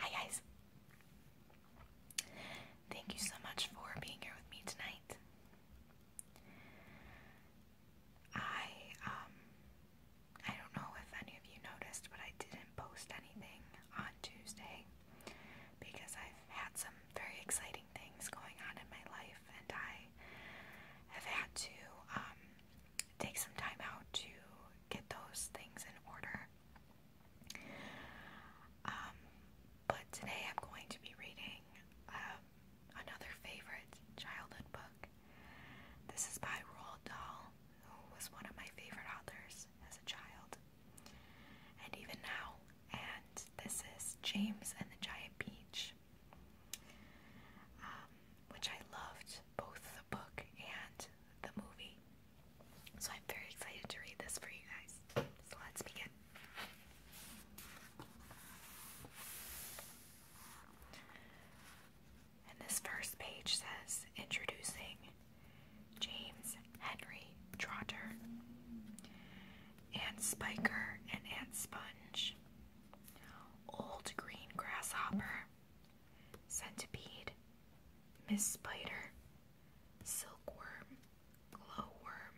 Hi, guys. Thank you so much for being here with me tonight. I, um, I don't know if any of you noticed, but I didn't post anything on Tuesday because I've had some very exciting things going on in my life, and I have had to um, take some time out to get those things in order. Um, but today I'm going to be reading um, another favorite childhood book. This is by Roald Dahl, who was one of my favorite authors as a child, and even now. And this is James and the Giant Peach, um, which I loved both the book and the movie. So I'm very excited to read this for you guys. So let's begin. And this first page says Introducing James Henry Trotter, Aunt Spiker and Aunt Sponge, Old Green Grasshopper, Centipede, Miss Spider, Silkworm, Glowworm,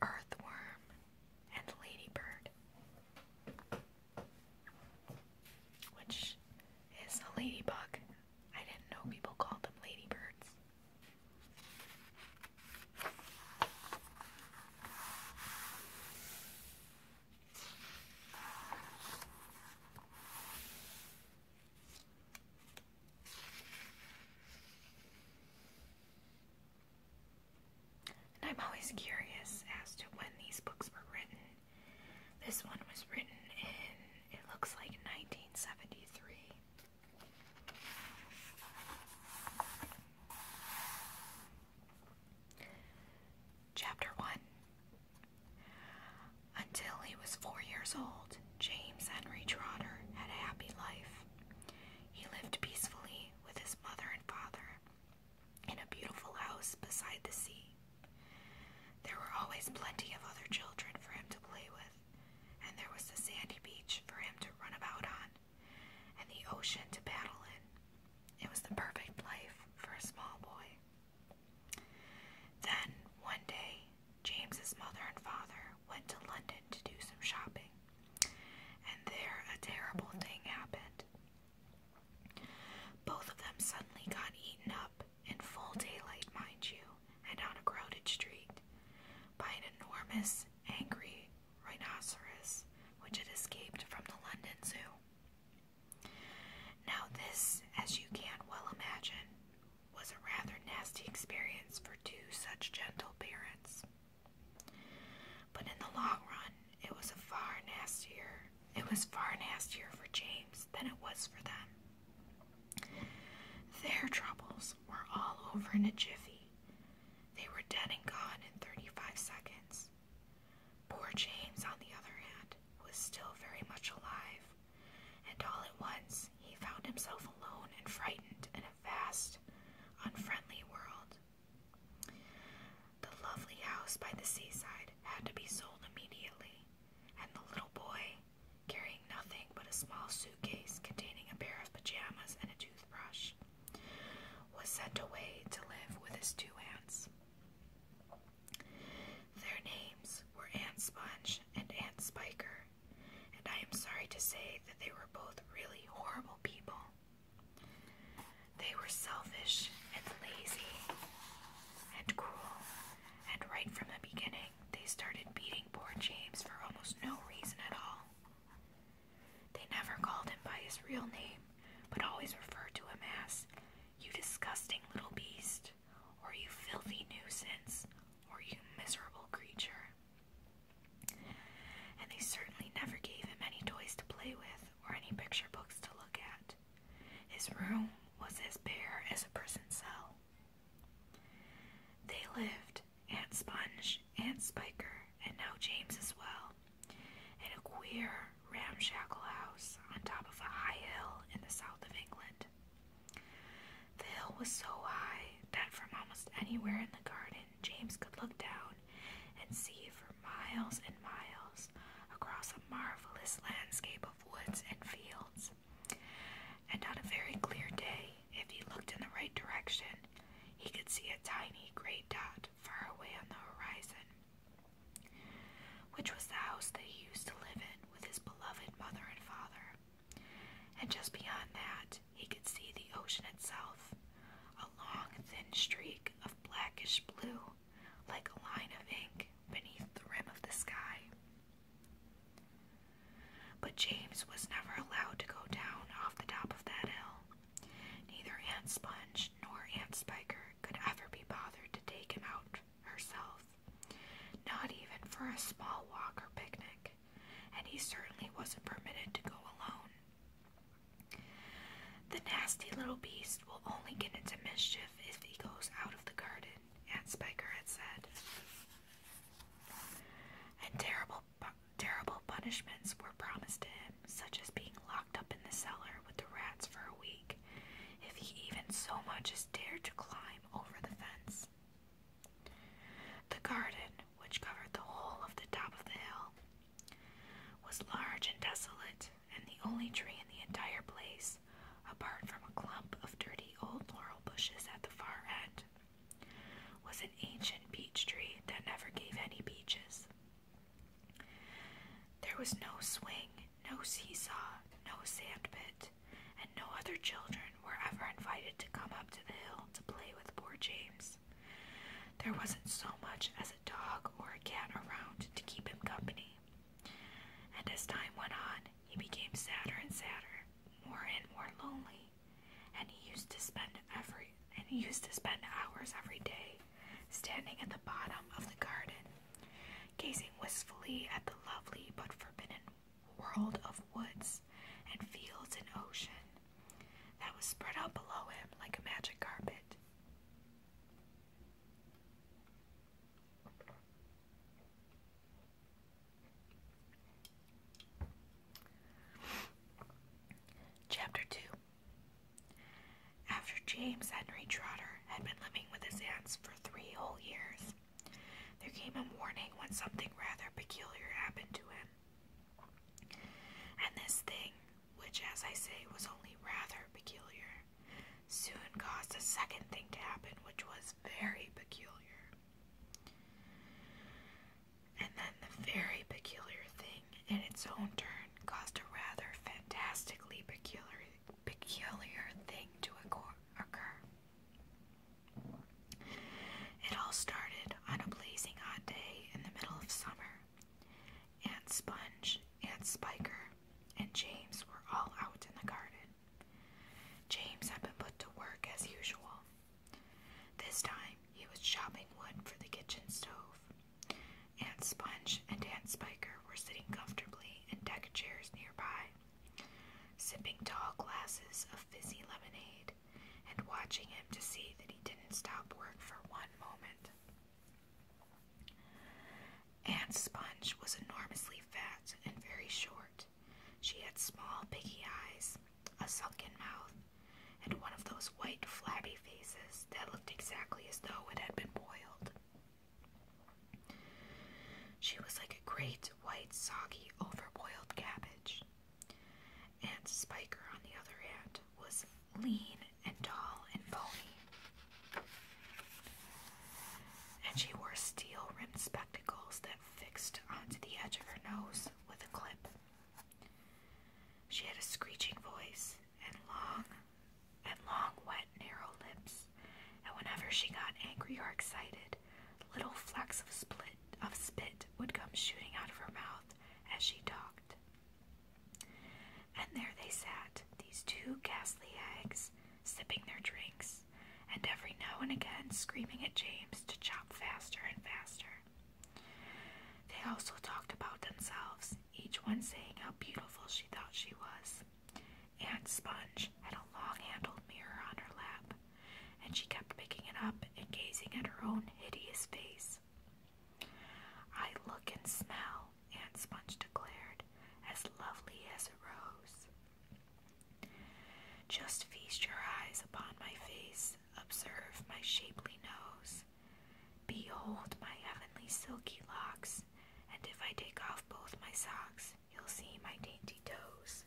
Earthworm, and Ladybird, which is a ladybug, I didn't know people called them ladybirds. I'm always curious as to when these books were written. This one was written in, it looks like 1973. Chapter 1 Until he was four years old, James Henry Trotter had a happy life. He lived peacefully with his mother and father in a beautiful house beside the sea. There were always plenty of other children for him to play with, and there was the sandy beach for him to run about on, and the ocean to paddle in. It was the perfect life for a small boy. Then, one day, James's mother and father went to London to do some shopping, and there a terrible thing happened. Both of them suddenly got eaten up in full daylight, mind you, and on a crowded street, by an enormous, angry rhinoceros which had escaped from the London Zoo. Now, this, as you can well imagine, was a rather nasty experience for two such gentle parents. But in the long run, it was far nastier. It was far nastier for James than it was for them. Their troubles were all over in a jiffy. They were dead and gone in 35 seconds. Poor James, on the other hand, was still very much alive, and all at once he found himself alone and frightened in a vast, unfriendly world. The lovely house by the seaside had to be sold immediately, and the little boy, carrying nothing but a small suitcase containing a pair of pajamas and a toothbrush, was sent away to live with his two aunts. Their names were Aunt Sponge and Aunt Spiker, and I am sorry to say that they were both really horrible people. They were selfish and lazy and cruel and right from the beginning, they started beating poor James for almost no reason at all. They never called him by his real name, but always referred to him as, You disgusting little beast, or You filthy nuisance, or You miserable creature. And they certainly never gave him any toys to play with or any picture books to look at. His room was as bare as a prison cell. They lived, Aunt Sponge, Aunt Spiker, and now James as well, in a queer, ramshackle house on top of a high hill in the south of England. The hill was so high that from almost anywhere in the garden, James could look down and see for miles and miles across a marvelous landscape of woods and fields. And on a very clear day, if he looked in the right direction, he could see a tiny gray dot far away on the horizon, which was the house that he used to live in with his beloved mother and father. And just beyond that, he could see the ocean itself, a long, thin streak of blackish blue, like a line of ink beneath the rim of the sky. But James was never allowed to go down off the top of that hill. Neither Aunt Sponge nor Aunt Spiker could ever be bothered to take him out herself, not even for a small walk or picnic, and he certainly wasn't permitted to go alone. The nasty little beast will only get into mischief if he goes out of the garden, Aunt Spiker had said. And terrible, terrible punishments were promised to him, such as being locked up in the cellar with the rats for a week, if he even so much as dared to climb over the fence. The garden, which covered the whole of the top of the hill, was large and desolate, and the only tree in the entire place apart from a clump of dirty old laurel bushes at the far end, was an ancient beech tree that never gave any beeches. There was no swing, no seesaw, no sandpit, and no other children were ever invited to come up to the hill to play with poor James. There wasn't so much as a dog or a cat around to keep him company. And as time went on, he became sadder and sadder, more and more lonely, and he used to spend every and he used to spend hours every day standing at the bottom of the garden, gazing wistfully at the lovely but forbidden world of woods and fields and ocean that was spread out below him like a magic carpet. Chapter 2 After James Henry Trotter had been living with his aunts for three whole years, there came a morning when something rather peculiar happened to him. And this thing, which, as I say, was only rather peculiar, soon caused a second thing to happen, which was very peculiar. And then the very peculiar thing, in its own turn, caused a rather fantastically peculiar, peculiar thing to occur. It all started on a blazing hot day in the middle of summer. Aunt Sponge, Aunt Spiker, and James were all out in the garden. James had been put to work as usual. This time he was chopping wood for the kitchen stove. Aunt Sponge and Aunt Spiker were sitting comfortably in deck chairs nearby, sipping tall glasses of fizzy lemonade and watching him to see that he didn't stop work for one moment. Aunt Sponge was enormously fat and very short, she had small, piggy eyes, a sunken mouth, and one of those white, flabby faces that looked exactly as though it had been boiled. She was like a great, white, soggy, overboiled cabbage. Aunt Spiker, on the other hand, was lean and tall and bony and she wore steel rimmed spectacles that fixed onto the edge of her nose with a clip. She had a screeching voice and long and long, wet, narrow lips, and whenever she got angry or excited, little flecks of split of spit would come shooting out of her mouth as she talked. And there they sat, these two ghastly hags, sipping their drinks, and every now and again screaming at James to chop faster and faster. They also talked about themselves, each one saying how beautiful she thought she was. Aunt Sponge had a long handled mirror on her lap, and she kept picking it up and gazing at her own hideous face. I look and smell, Aunt Sponge declared, as lovely as a rose. Just feast your eyes upon my face, observe my shapely nose. Behold my heavenly silky locks, and if I take off both my socks, you'll see my dainty toes.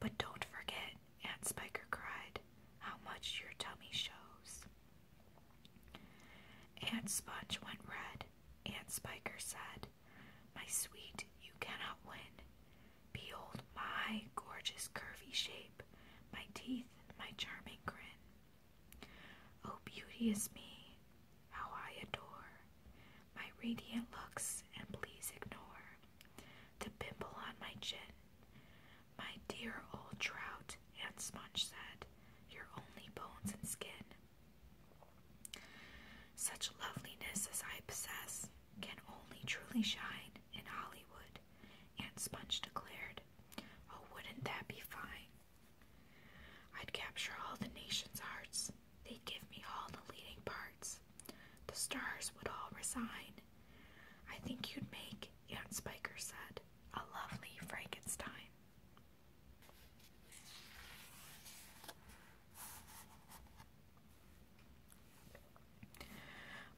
But don't forget, Aunt Spiker cried, how much your tummy shows. Aunt Sponge went red, Aunt Spiker said, my sweet, you cannot win. Behold my gorgeous curvy shape, my teeth, my charming grin. Oh, beauteous me, how I adore my radiant looks, and please ignore the pimple on my chin. My dear old trout, and Sponge said, You're only bones and skin. Such loveliness as I possess can only truly shine in Hollywood, Aunt Sponge declared. Oh, wouldn't that be fine? I'd capture all the nation's hearts. They'd give me all the leading parts. The stars would all resign. I think you'd make, Aunt Spiker said, a lovely Frankenstein.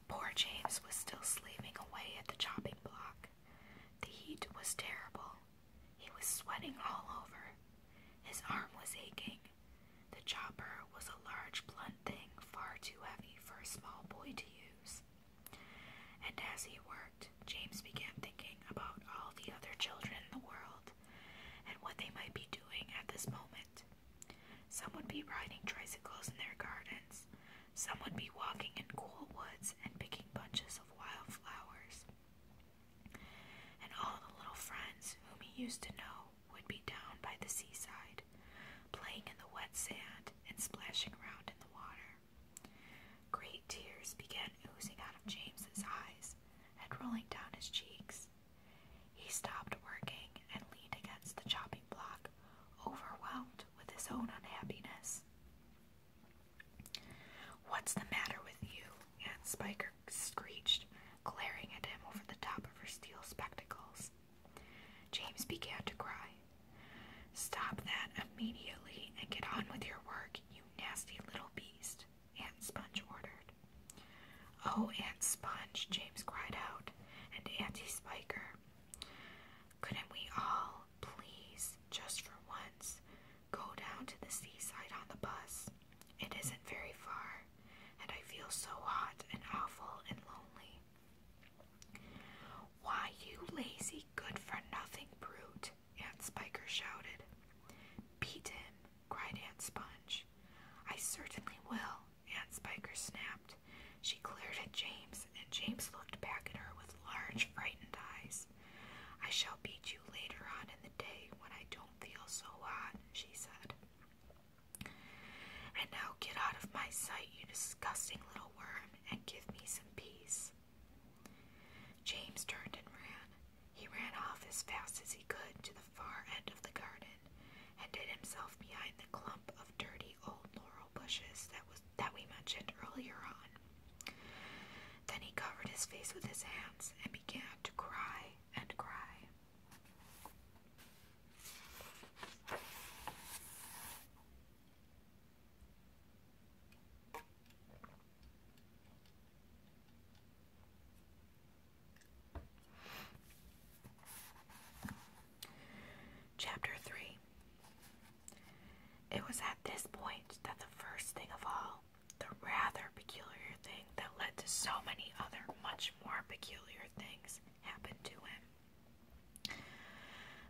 Poor James was still slaving away at the chopping block. The heat was terrible. He was sweating all over. His arm was aching. The chopper was a large, blunt thing, far too heavy for a small boy to use. And as he worked, James began thinking about all the other children in the world and what they might be doing at this moment. Some would be riding tricycles in their gardens, some would be walking in cool woods and picking bunches of wild flowers. And all the little friends whom he used to know would be down by the seaside, playing in the wet sand and splashing around in the water. Great tears began oozing out of James's eyes and rolling down his cheeks. He stopped working and leaned against the chopping block, overwhelmed with his own unhappiness. What's the matter with you? Aunt Spiker screeched, glaring at him over the top of her steel spectacles. James began to cry. Stop that immediately and get on with your work, you nasty little beast. Aunt Sponge ordered. Oh, Aunt Sponge, James cried out, and Auntie Spiker. Couldn't we all, please, just for once, go down to the seaside on the bus? It isn't very far, and I feel so hot and awful and lonely. Why, you lazy, good for nothing brute, Aunt Spiker shouted. Beat him, cried Aunt Sponge. I certainly will, Aunt Spiker snapped. She glared at James, and James looked back at her with large, frightened eyes. I shall beat you later on in the day when I don't feel so hot, she said. And now get out of my sight, you disgusting little worm, and give me some peace. James turned and ran. He ran off as fast as he could to the far end of the garden and hid himself behind the clump of dirty old laurel bushes that was that we mentioned earlier on. Then he covered his face with his hands and began to cry and cry. Chapter 3 It was at this point that the first thing of all, the rather peculiar thing that led to so many other much more peculiar things, happened to him.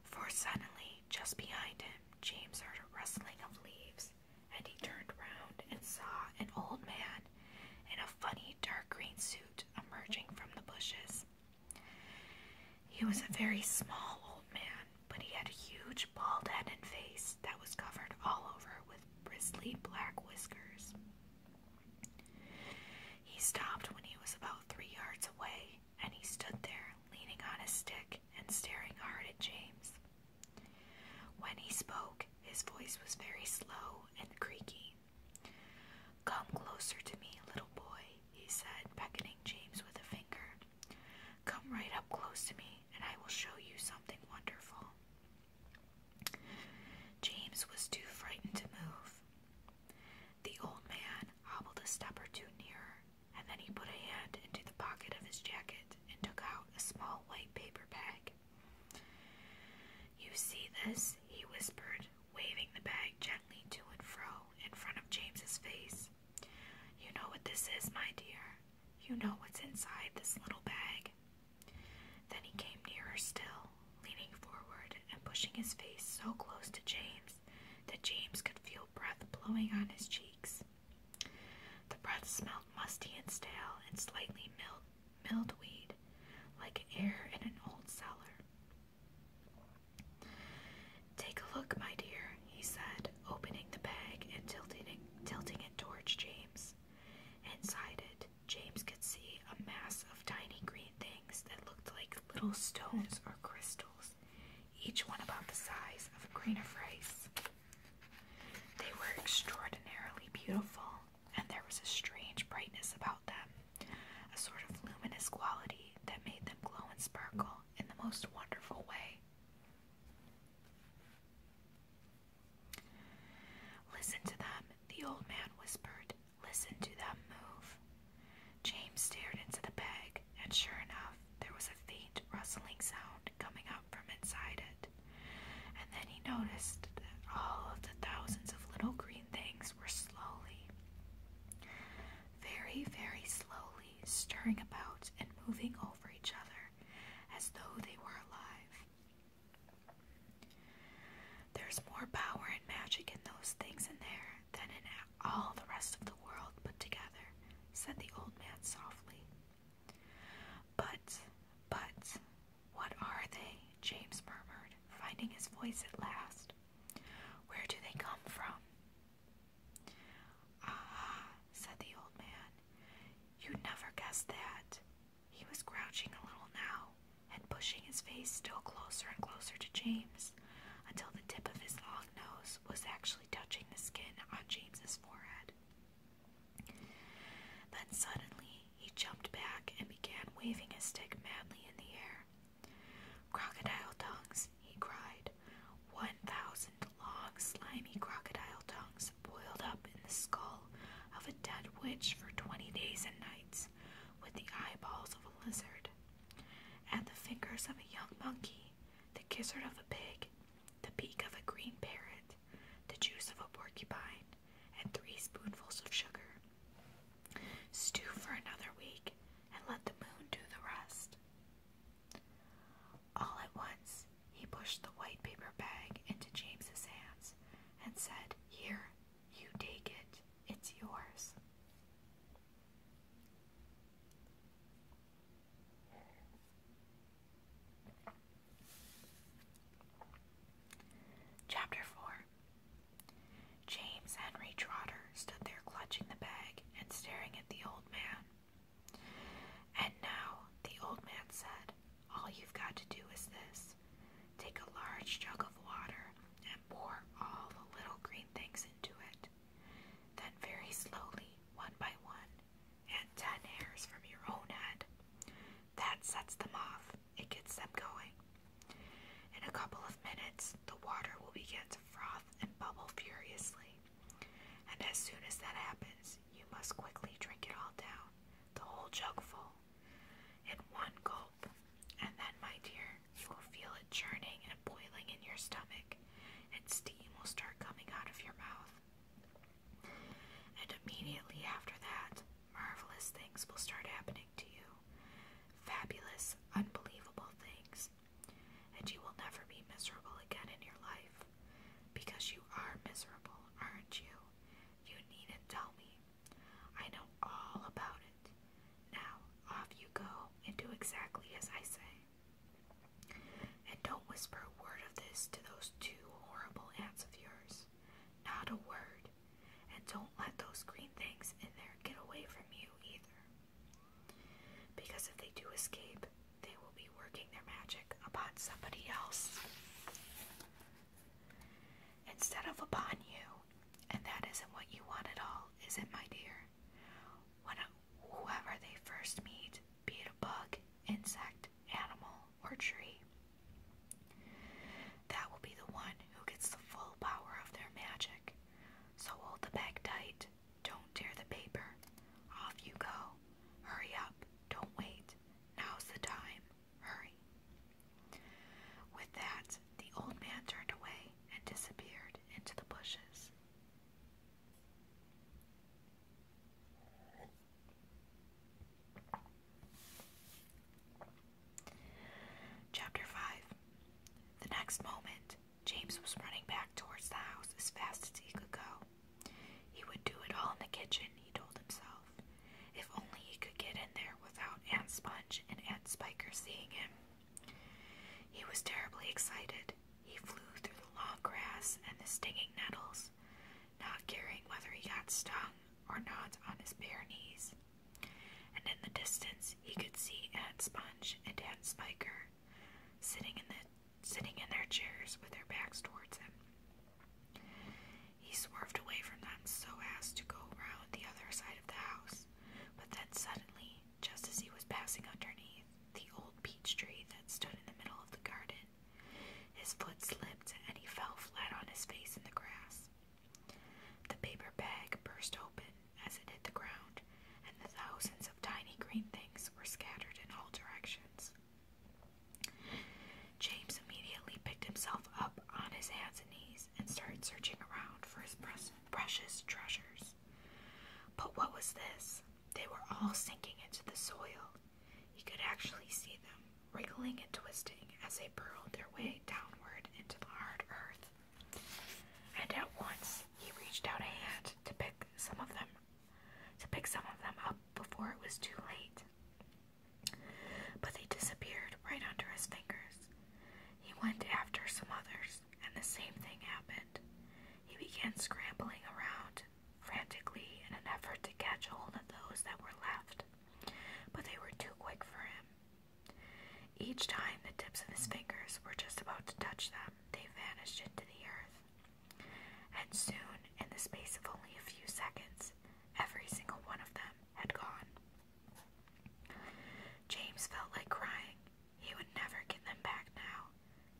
For suddenly, just behind him, James heard a rustling of leaves and he turned round and saw an old man in a funny dark green suit emerging from the bushes. He was a very small old man, but he had a huge bald head and face that was covered all over with bristly black whiskers. He stopped when he was about three yards away, and he stood there leaning on his stick and staring hard at James. When he spoke, his voice was very slow and creaky. Come closer to me, little boy, he said, beckoning James with a finger. Come right up close to me, and I will show you something wonderful. James was too frightened to move. The old man hobbled a step or two nearer, and then he put a hand into the pocket of his jacket and took out a small white paper bag. You see this? he whispered, waving the bag gently to and fro in front of James's face. You know what this is, my dear. You know what's inside this little bag. Then he came nearer still, leaning forward and pushing his face so close to James that James could feel breath blowing on his cheeks. The breath smelled musty and stale and slightly milled Milled weed, like air in an old cellar. Take a look, my dear, he said, opening the bag and tilting it towards James. Inside it, James could see a mass of tiny green things that looked like little stones or crystals, each one about the size of a grain of rice. They were extraordinarily beautiful, and there was a strange brightness about them, a sort of luminous quality that made them glow and sparkle in the most wonderful way. Listen to them, the old man whispered. Listen to them move. James stared into the bag, and sure enough, there was a faint rustling sound coming from inside it. And then he noticed that all of the thousands of little green things were slowly, very, very slowly stirring about and moving over each other as though they were alive. There's more power and magic in those things in there than in all the rest of the world put together, said the old man softly. But, but, what are they? James murmured, finding his voice at last. Where do they come from? Ah, said the old man. You'd never guess that. He was crouching a little now and pushing his face still closer and closer to James until the tip of his long nose was actually touching the skin on James's forehead. Then suddenly he jumped back and began waving his stick madly in the air. Crocodile tongues, he cried. "One One thousand long, slimy crocodile tongues boiled up in the skull of a dead witch for twenty days and nights, with the eyeballs of a lizard, and the fingers of a young monkey, the gizzard of a pig, the beak of a green parrot, the juice of a porcupine, and three spoonfuls of sugar. Stew for another week and let the moon do the rest. All at once, he pushed the white paper bag into James's hands and said, Here, you take it. It's yours. Chapter 4 James Henry Trotter stood there clutching the bag and staring at the old man. And now, the old man said, all you've got to do is this. Take a large jug of water and pour all the little green things into it. Then, very slowly, one by one, and ten hairs from your own head. That sets them off. It gets them going. In a couple of minutes, the water will begin to froth and bubble furiously. And as soon as that happens, you must quickly drink it all down, the whole jug full, in one gulp. And then, my dear, you will feel it churning and boiling in your stomach, and steam will start coming out of your mouth. And immediately after that, marvelous things will start happening to you. Fabulous, unbelievable things. And you will never be miserable again in your life. Because you are miserable, aren't you? You needn't tell me. I know all about it. Now, off you go and do exactly as I say. And don't whisper a word of this to those two horrible aunts of yours. Not a word. And don't let those green things in there get away from you either. Because if they do escape, they will be working their magic upon somebody else instead of upon you. And that isn't what you want at all, is it, my dear? When whoever they first meet, be it a bug, insect, animal, or tree, that will be the one who gets the full power of their magic. So hold the bag tight. Don't tear the paper. Off you go. Hurry up. Don't wait. Now's the time. Hurry. With that, the old man turned away and disappeared into the bushes. Chapter 5 The next moment, James was running back towards the house as fast as he could go. He would do it all in the kitchen, he told himself. If only he could get in there without Aunt Sponge and Aunt Spiker seeing him. He was terribly excited. He flew through the long grass and the stinging nettles, not caring whether he got stung or not on his bare knees. And in the distance, he could see Aunt Sponge and Aunt Spiker sitting in the sitting in their chairs with their backs towards him. He swerved away from them so as to go round the other side of the house, but then suddenly, just as he was passing underneath the old peach tree that stood in the middle of the garden, his foot slipped and he fell flat on his face in the grass. The paper bag burst open as it hit the ground, and the thousands of tiny green things were scattered in all directions. James immediately picked himself up on his hands and knees and started searching around for his precious treasures. But what was this? They were all sinking into the soil. He could actually see them, wriggling and twisting as they burrowed their way downward into the hard earth. And at once he reached out a hand to pick some of them to pick some of them up before it was too late. But they disappeared right under his fingers. He went after some others, and the same thing happened. He began scrambling around frantically in an effort to catch hold of those that were left but they were too quick for him. Each time the tips of his fingers were just about to touch them, they vanished into the earth. And soon, in the space of only a few seconds, every single one of them had gone. James felt like crying. He would never get them back now.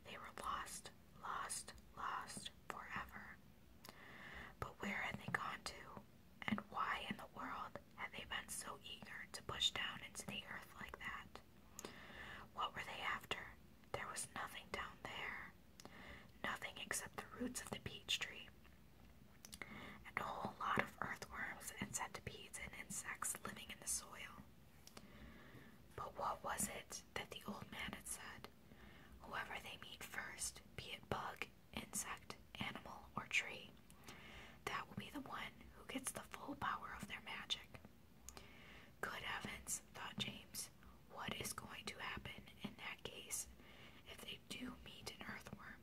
They were lost, lost, lost forever. But where had they gone to? And why in the world had they been so eager to push down into the earth like that? What were they after? There was nothing down there. Nothing except the roots of the peach tree. And a whole lot of earthworms and centipedes and insects living in the soil. But what was it that the old man had said? Whoever they meet first, be it bug, insect, animal, or tree. That will be the one who gets the full power of their magic. Good heavens, thought James, what is going to happen in that case if they do meet an earthworm,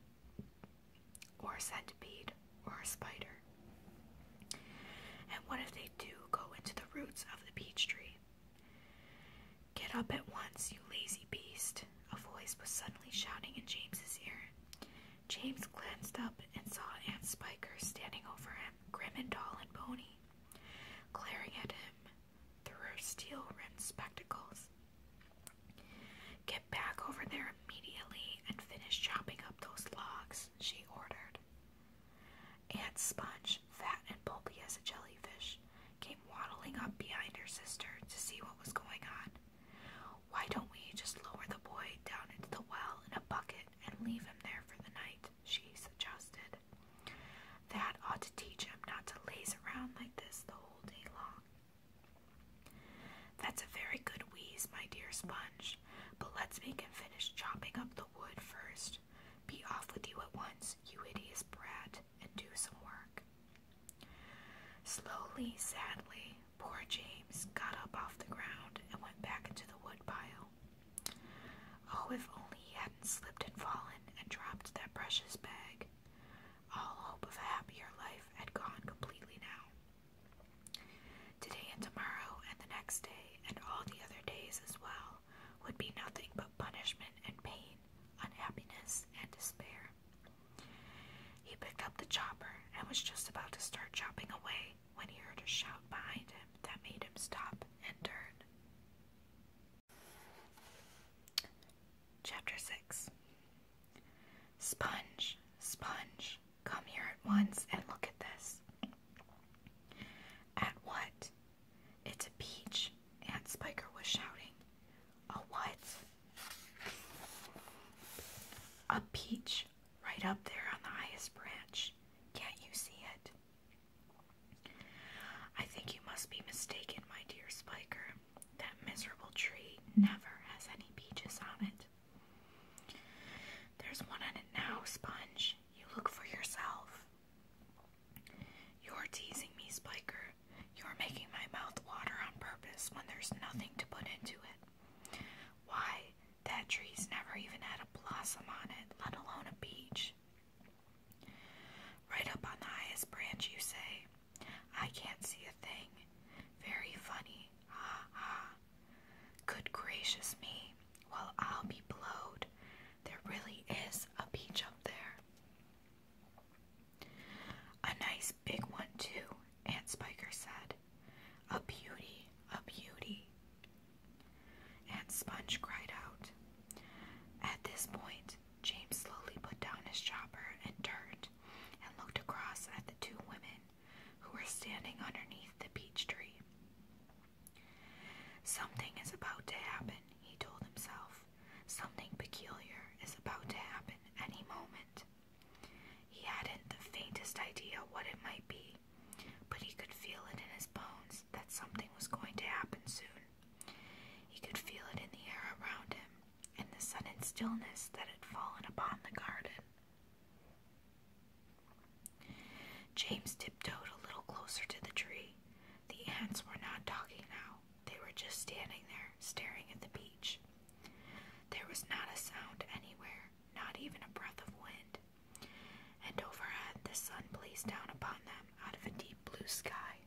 or a centipede, or a spider? And what if they do go into the roots of the peach tree? Get up at once, you lazy beast, a voice was suddenly shouting in James's ear. James glanced up and saw Aunt Spiker standing over him, grim and tall and bony, glaring at him through her steel rimmed spectacles. Get back over there immediately and finish chopping up those logs, she ordered. Aunt Sponge, fat and bulky as a jellyfish, came waddling up behind her sister to see what was going on. Why don't we just lower the boy down into the well in a bucket and leave him there for the night? she suggested. That ought to teach him not to laze around like this the whole day long. That's a very good wheeze, my dear Sponge, but let's make him finish chopping up the wood first. Be off with you at once, you hideous brat and do some work. Slowly, sadly, poor James got up off the ground and went back into the woodpile. Oh, if only he hadn't slipped and fallen and dropped that precious bag. All hope of a happier life had gone completely now. Today and tomorrow and the next day and all the other days as well would be nothing but punishment and pain, unhappiness and despair. He picked up the chopper and was just about to start chopping away when he heard a shout behind him that made him stop and turn. Chapter 6 Sponge, Sponge, come here at once and look at this. At what? It's a beach. Aunt Spiker was shouting a what? A peach right up there on the highest branch. Can't you see it? I think you must be mistaken, my dear Spiker. That miserable tree never has any peaches on it. There's one on it now, Sponge. You look for yourself. You're teasing me, Spiker. You're making my mouth water on purpose when there's nothing to put into it. Why, that tree's never even had a blossom on it, let alone a peach. Right up on the highest branch, you say. I can't see a thing. Very funny. Ha ha. Good gracious me. Well, I'll be blowed. There really is a peach up there. A nice big one, too, Aunt Spiker said. A beauty, a beauty. Aunt Sponge cried out. At this point, James slowly put down his chopper and turned and looked across at the two women who were standing underneath the peach tree. Something is about to happen, he told himself. Something peculiar is about to happen any moment. He hadn't the faintest idea what it might be, but he could feel it in his bones that something was going to happen soon. He could feel it in the air around him, and the sudden stillness that had fallen upon the garden. James tiptoed a little closer to the tree. The ants were not talking now, they were just standing there, staring at the beach. There was not a sound anywhere, not even a breath of wind. And overhead, the sun blazed down upon them out of a deep blue sky.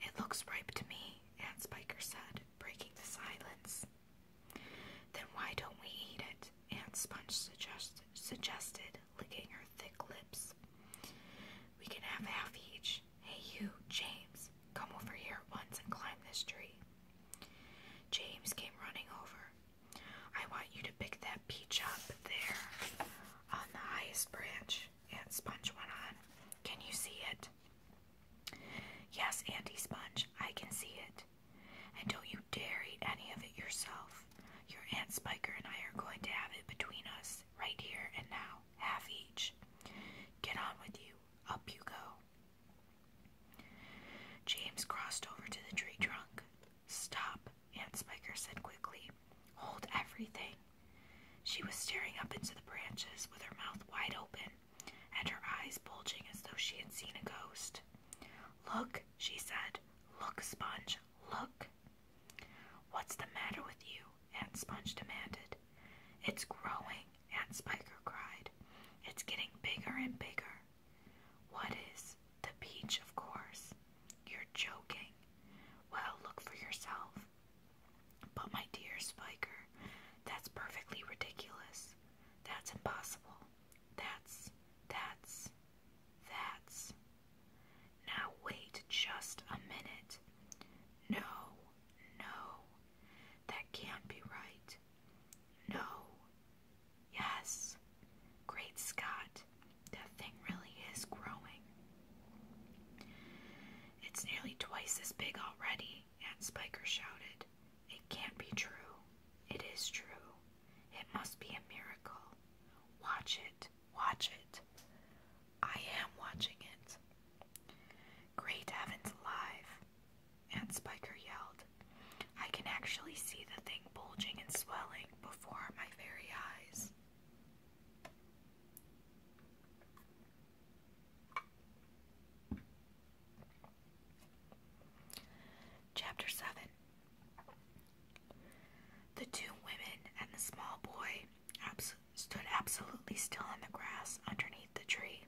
It looks ripe to me, Aunt Spiker said, breaking the silence. Then why don't we eat it? Aunt Sponge suggested, licking her thick lips. We can have half each. Hey, you, James, come over here once and climb this tree. James came running over. I want you to pick that peach up there on the highest branch. Aunt Sponge went on. Can you see it? Yes, Auntie Sponge, I can see it. And don't you dare eat any of it yourself. Your Aunt Spiker and I are going to have it between us, right here and now half each. Get on with you. Up you go. James crossed over to the tree trunk. Stop, Aunt Spiker said quickly. Hold everything. She was staring up into the branches with her mouth wide open and her eyes bulging as though she had seen a ghost. Look, she said. Look, Sponge, look. What's the matter with you? Aunt Sponge demanded. It's growing, Aunt Spiker cried. It's getting bigger and bigger. What is? The peach, of course. You're joking. Well, look for yourself. But my dear Spiker, that's perfectly ridiculous. That's impossible. That's, that's, that's. Now wait just a minute. No, no, that can't be right. No, yes, great Scott, that thing really is growing. It's nearly twice as big already, Aunt Spiker shouted. It can't be true. It is true. It must be a miracle. Watch it. Watch it. I am watching it. Great heavens alive, Aunt Spiker yelled. I can actually see the thing bulging and swelling before my very eyes. Chapter 7 The two women and the small boy absolutely stood absolutely still in the grass underneath the tree,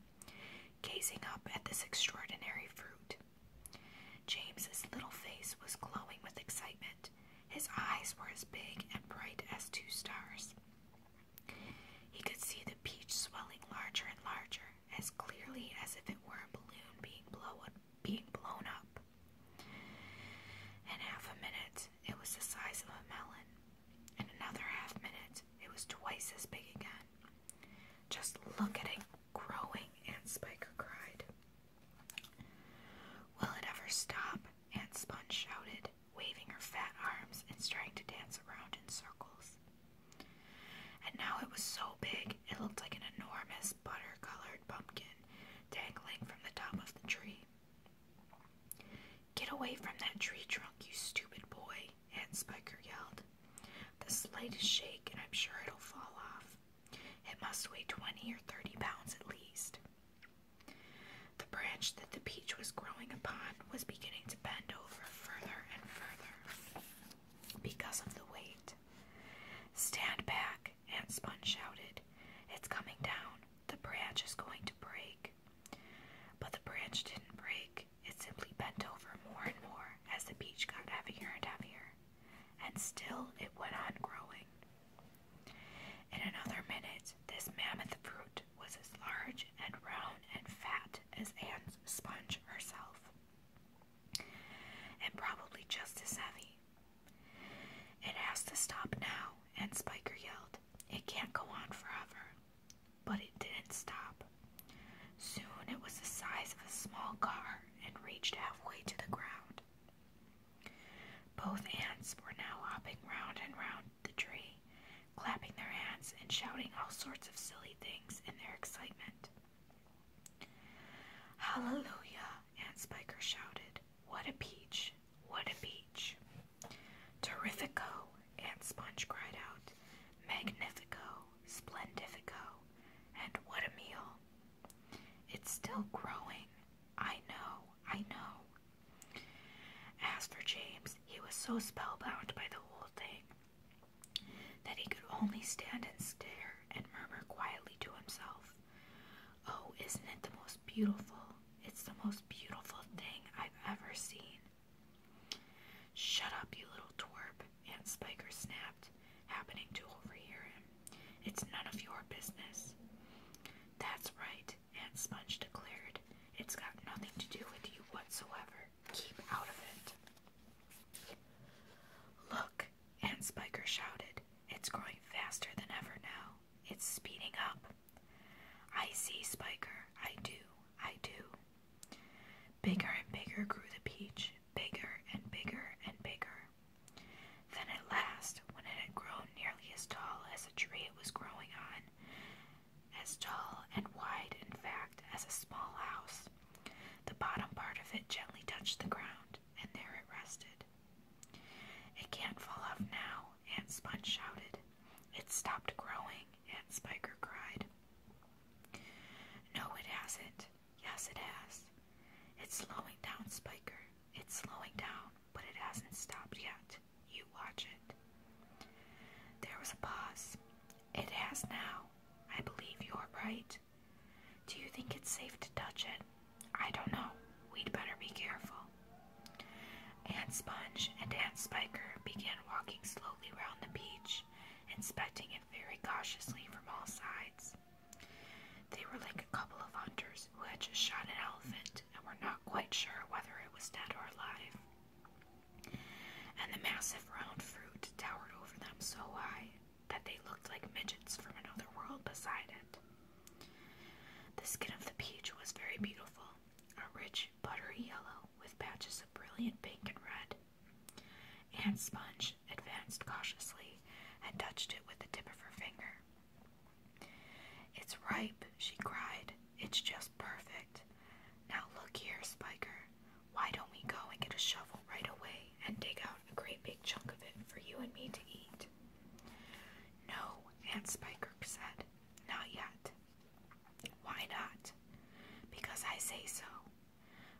gazing up at this extraordinary fruit. James's little face was glowing with excitement. His eyes were as big and bright as two stars. He could see the peach swelling larger and larger, as clearly as if it were a balloon being blown being blown up. In half a minute, it was the size of a melon. In another half minute, it was twice as big again. Just look at it growing, Aunt Spiker cried. Will it ever stop? Aunt Sponge shouted, waving her fat arms and trying to dance around in circles. And now it was so big, it looked like an enormous butter colored pumpkin dangling from the top of the tree. Get away from that tree trunk, you stupid boy, Aunt Spiker yelled. The slightest shake, and I'm sure it'll fall off. It must weigh twenty or thirty pounds at least. The branch that the peach was growing upon was beginning to bend over further and further because of the weight. Stand back, Aunt Spun shouted. It's coming down. The branch is going to break. But the branch didn't break, it simply bent over more and more as the peach got heavier and heavier, and still it went on growing. In another minute, this mammoth fruit was as large and round and fat as Anne's sponge herself, and probably just as heavy. It has to stop now, and Spiker yelled, it can't go on forever. But it didn't stop. Soon it was the size of a small car and reached halfway to the ground. Both ants were now hopping round and round the tree, clapping their hands and shouting all sorts of silly things in their excitement. Hallelujah! Ant Spiker shouted. What a peach! What a peach! Terrifico! and Sponge cried out. Magnifico! Splendifico! And what a meal! It's still growing. I know, I know. As for James, he was so spellbound by the whole thing that he could only stand and stare and murmur quietly to himself, Oh, isn't it the most most beautiful. It's the most beautiful thing I've ever seen. Shut up, you little twerp, Aunt Spiker snapped, happening to overhear him. It's none of your business. That's right, Aunt Sponge declared. It's got nothing to do with you whatsoever. Keep out of it. Look, Aunt Spiker shouted. It's growing faster than ever now. It's speeding up. I see, Spiker, I do, I do. Bigger and bigger grew the peach, bigger and bigger and bigger. Then at last, when it had grown nearly as tall as the tree it was growing on, as tall and wide, in fact, as a small house, the bottom part of it gently touched the ground, and there it rested. It can't fall off now, Aunt Sponge shouted. It stopped growing, Aunt Spiker cried. No, it hasn't. Yes, it has. It's slowing down, Spiker. It's slowing down, but it hasn't stopped yet. You watch it. There was a pause. It has now. I believe you're right. Do you think it's safe to touch it? I don't know. We'd better be careful wall. Sponge and Aunt Spiker began walking slowly round the beach, inspecting it very cautiously from all sides. They were like a couple of hunters who had just shot an elephant and were not quite sure whether it was dead or alive. And the massive round fruit towered over them so high that they looked like midgets from another world beside it. The skin of the peach was very beautiful, a rich buttery yellow with patches of brilliant pink and red. Aunt Sponge advanced cautiously and touched it with the tip of her finger. It's ripe, she cried. It's just perfect. Now look here, Spiker. Why don't we go and get a shovel right away and dig out a great big chunk of it for you and me to eat? No, Aunt Spiker said. Not yet. Why not? Because I say so.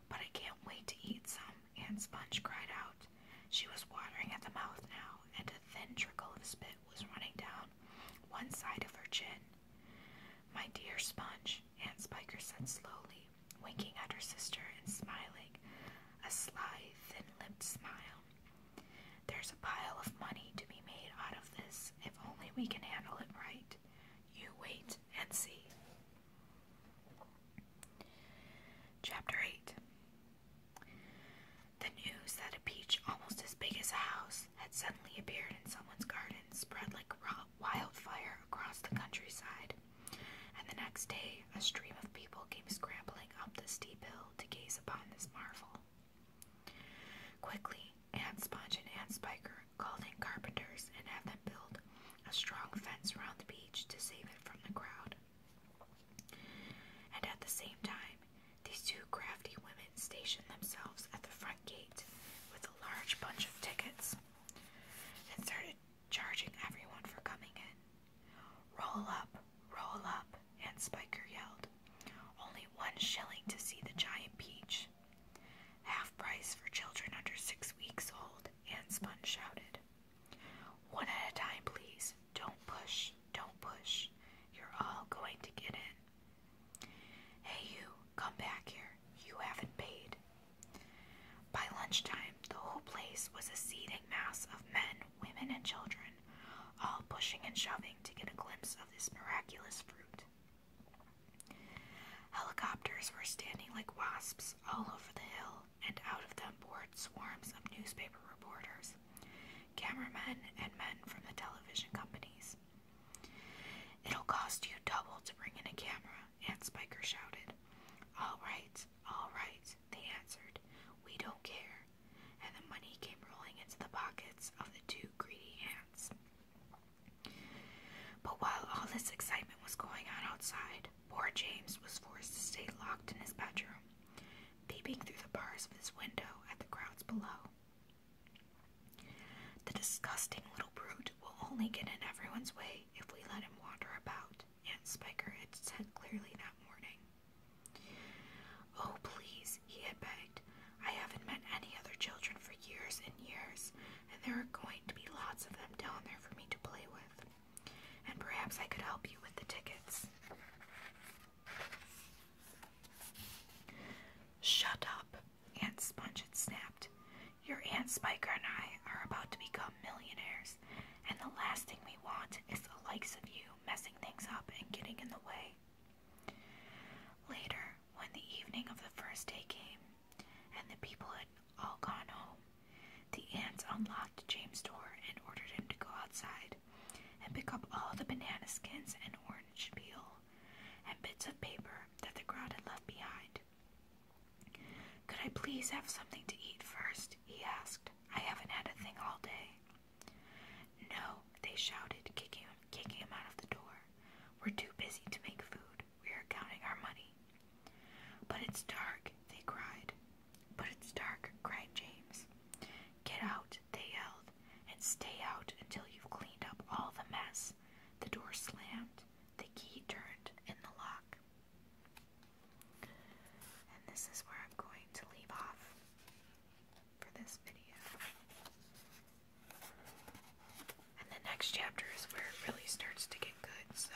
But I can't wait to eat some, Aunt Sponge cried out. She was watering at the mouth now, and a thin trickle of spit was running down one side of her chin. My dear Sponge, Aunt Spiker said slowly, winking at her sister and smiling, a sly, thin lipped smile. There's a pile of money to be made out of this if only we can handle it right. You wait and see. Chapter 8 The news that a peach almost as big as a house had suddenly appeared in someone's garden spread like wildfire across the countryside, and the next day a stream of people came scrambling up the steep hill to gaze upon this marvel. Quickly, Aunt Sponge and Aunt Spiker called in carpenters and had them build a strong fence around the beach to save it from the crowd. And at the same time, these two crafty women stationed themselves at the front gate with a large bunch of tickets and started charging everyone for coming in. Roll up, roll up, and Spiker yelled. Only one shilling to see the giant peach. Half price for children under six weeks old, Anne Spun shouted. One at a time, please. Don't push, don't push. You're all going to get in. Hey, you, come back here. You haven't paid. By lunchtime, the whole place was a seething mass of men, women, and children all pushing and shoving to get a glimpse of this miraculous fruit. Helicopters were standing like wasps all over the hill, and out of them poured swarms of newspaper reporters, cameramen, and men from the television companies. It'll cost you double to bring in a camera, Aunt Spiker shouted. All right, all right, they answered. We don't care and the money came rolling into the pockets of the two greedy ants. But while all this excitement was going on outside, poor James was forced to stay locked in his bedroom, peeping through the bars of his window at the crowds below. The disgusting little brute will only get in everyone's way if we let him wander about, Aunt Spiker had said clearly that morning. Oh, please, he had begged. I haven't met any other children for years and years, and there are going to be lots of them down there for me to play with. And perhaps I could help you with the tickets. Shut up, Aunt Sponge had snapped. Your Aunt Spiker and I are about to become millionaires, and the last thing we want is the likes of you messing things up and getting in the way. Later, when the evening of the first day came, and the people had all gone home, the ants unlocked James' door and ordered him to go outside and pick up all the banana skins and orange peel and bits of paper that the crowd had left behind. Could I please have something to eat first? he asked. I haven't had a thing all day. No, they shouted, kicking, kicking him out of the door. We're too busy to make food. We are counting our money. But it's dark, they cried. But it's dark, cried James. Get out, they yelled, and stay out until you've cleaned up all the mess. The door slammed, the key turned in the lock. And this is where I'm going to leave off for this video. And the next chapter is where it really starts to get good, so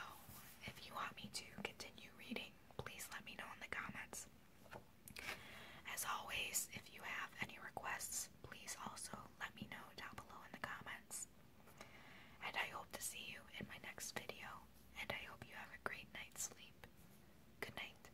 if you want me to continue reading, please let me know in the comments. As always, if you have any requests, please also let me know down below in the comments. And I hope to see you in my next video, and I hope you have a great night's sleep. Good night.